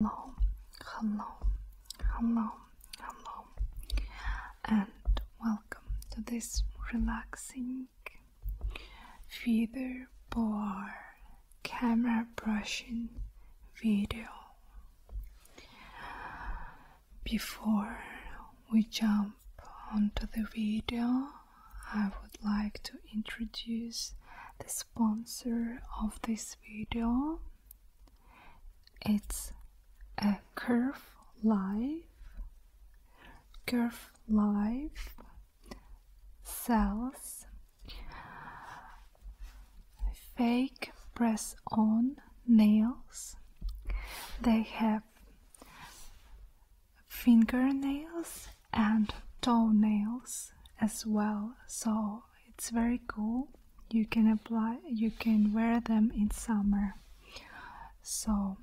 hello, hello, hello, hello, and welcome to this relaxing feather bar camera brushing video. Before we jump onto the video, I would like to introduce the sponsor of this video it's a curve life, curve life cells, fake press on nails. They have fingernails and toenails as well, so it's very cool you can apply you can wear them in summer so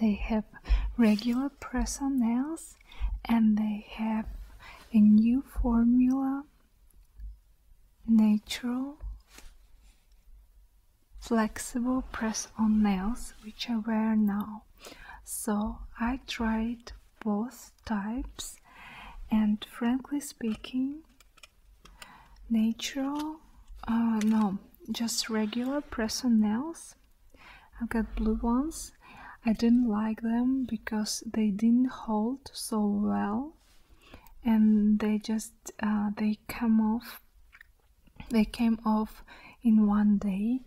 they have regular press on nails and they have a new formula natural flexible press on nails which I wear now so I tried both types and frankly speaking natural uh, no just regular press on nails i got blue ones I didn't like them because they didn't hold so well and they just uh, they come off they came off in one day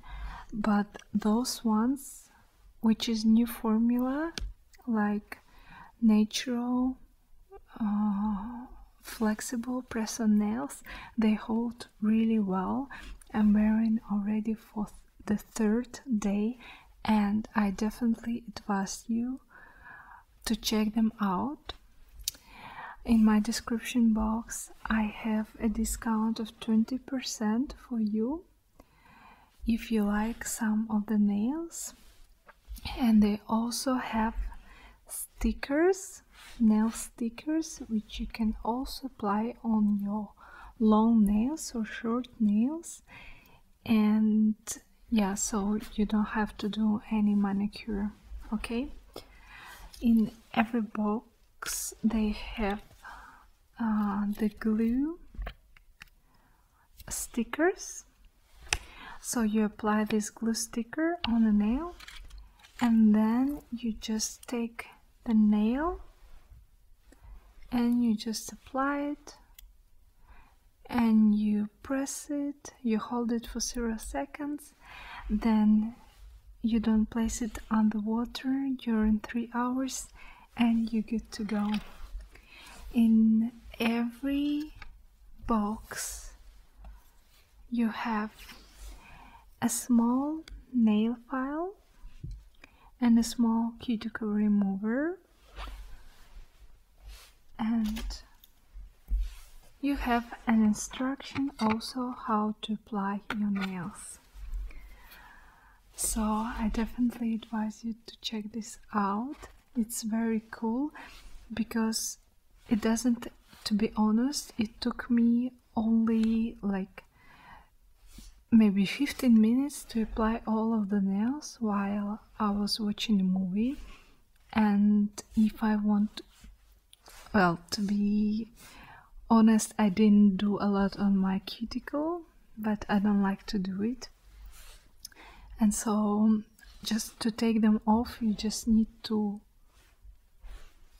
but those ones which is new formula like natural uh, flexible press on nails they hold really well i'm wearing already for the third day and i definitely advise you to check them out in my description box i have a discount of 20% for you if you like some of the nails and they also have stickers nail stickers which you can also apply on your long nails or short nails and yeah so you don't have to do any manicure okay in every box they have uh, the glue stickers so you apply this glue sticker on the nail and then you just take the nail and you just apply it and you press it you hold it for zero seconds then you don't place it on the water during three hours and you're good to go in every box you have a small nail file and a small cuticle remover and you have an instruction also how to apply your nails so I definitely advise you to check this out. It's very cool because it doesn't, to be honest, it took me only like maybe 15 minutes to apply all of the nails while I was watching a movie. And if I want, well, to be honest, I didn't do a lot on my cuticle but I don't like to do it. And so, just to take them off, you just need to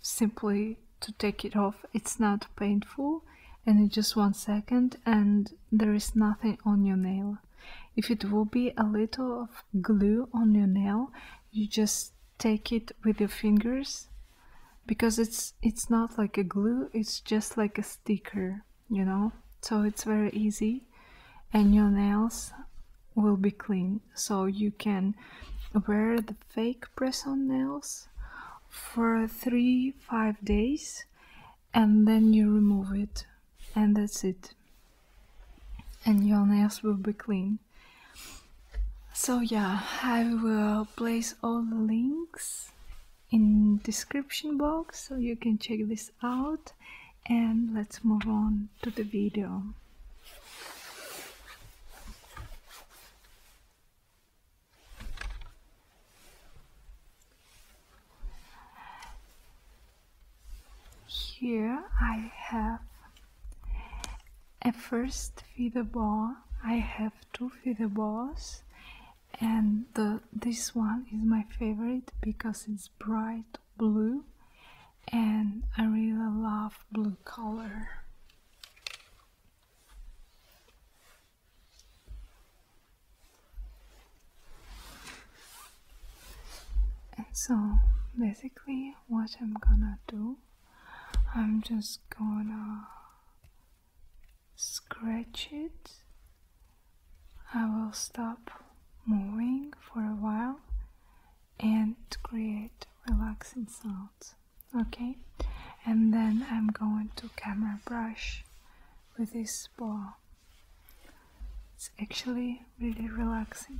simply to take it off. It's not painful and in just one second and there is nothing on your nail. If it will be a little of glue on your nail, you just take it with your fingers because it's it's not like a glue it's just like a sticker you know so it's very easy and your nails will be clean so you can wear the fake press-on nails for three five days and then you remove it and that's it and your nails will be clean so yeah i will place all the links in description box so you can check this out and let's move on to the video here I have a first feeder ball I have to feed the boss, and this one is my favorite because it's bright blue and I really love blue color and so basically what I'm gonna do I'm just gonna scratch it. I will stop moving for a while and create relaxing sounds. Okay? And then I'm going to camera brush with this ball. It's actually really relaxing.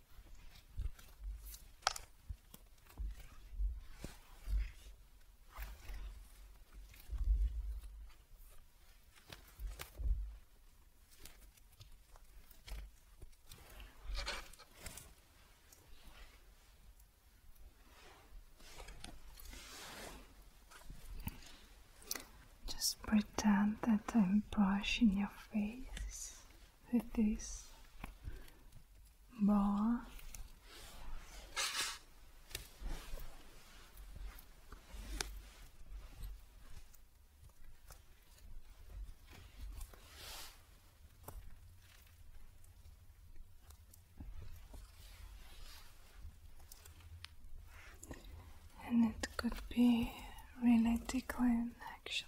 Just pretend that I'm brushing your face with this ball and it could be really tickling actually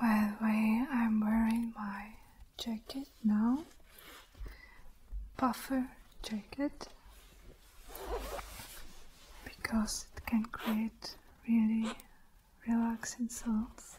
By the way, I'm wearing my jacket now, puffer jacket, because it can create really relaxing sounds.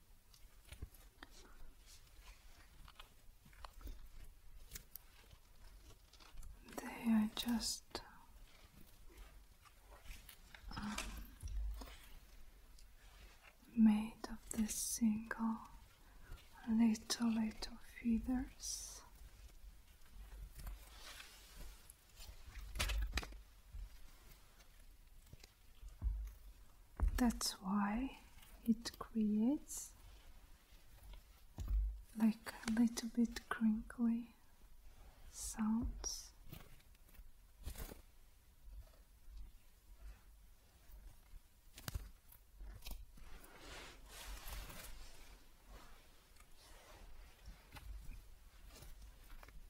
They are just um, made of this single little little feathers. That's why it creates like a little bit crinkly sounds.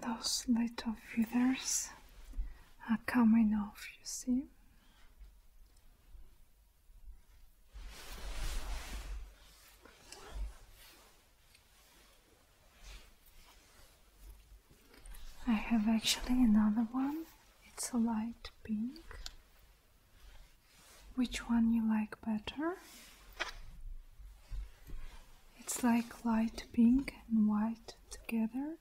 Those little feathers are coming off, you see. I have actually another one, it's a light pink. Which one you like better? It's like light pink and white together.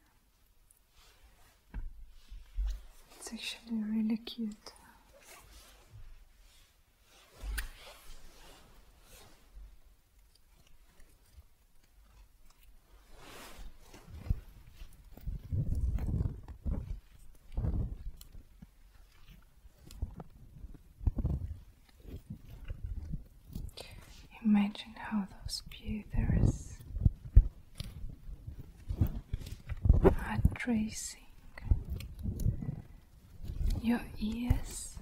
It's actually really cute. Imagine how those pewters are tracing your ears,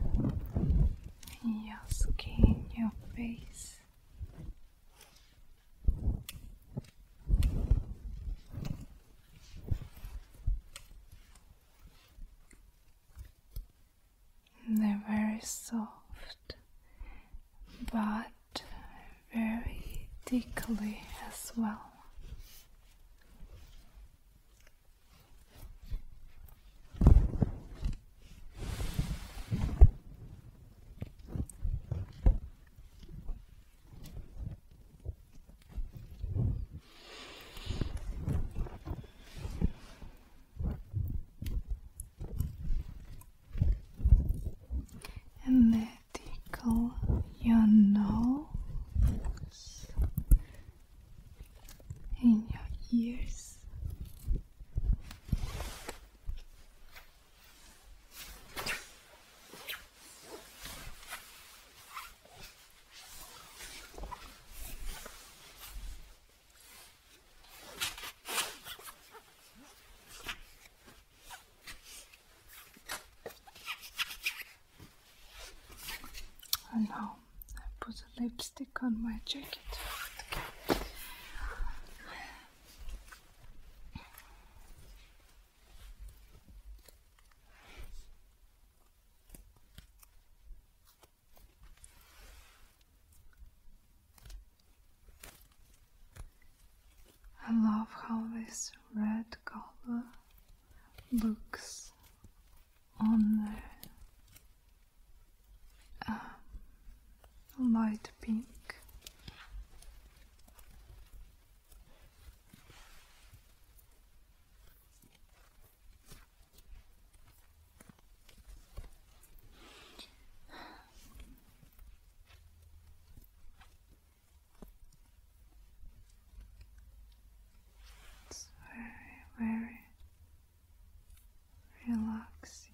your skin, your face, they're very soft, but very thickly as well. And then tickle your nose your ears now I put a lipstick on my jacket. I love how this red color looks on the um, light pink. It's very, very relaxing.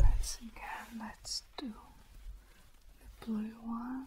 Let's again, let's do the blue one.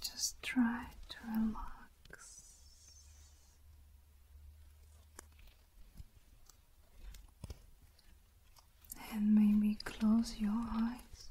Just try to relax. And maybe close your eyes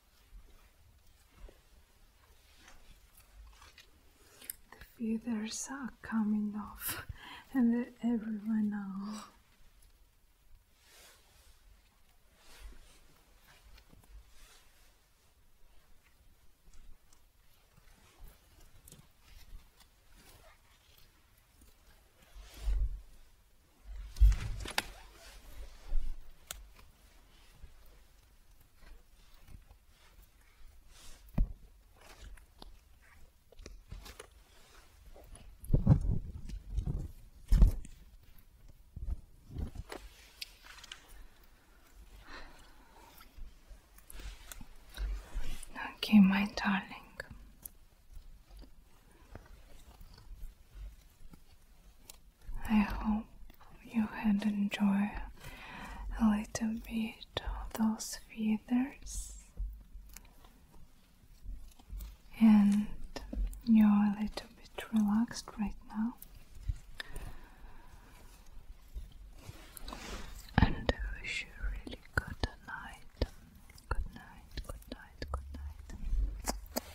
The feathers are coming off and they're everywhere now. Okay, my darling. I hope you had enjoyed a little bit of those feathers and you're a little bit relaxed right now. And wish you really good night. Good night, good night, good night.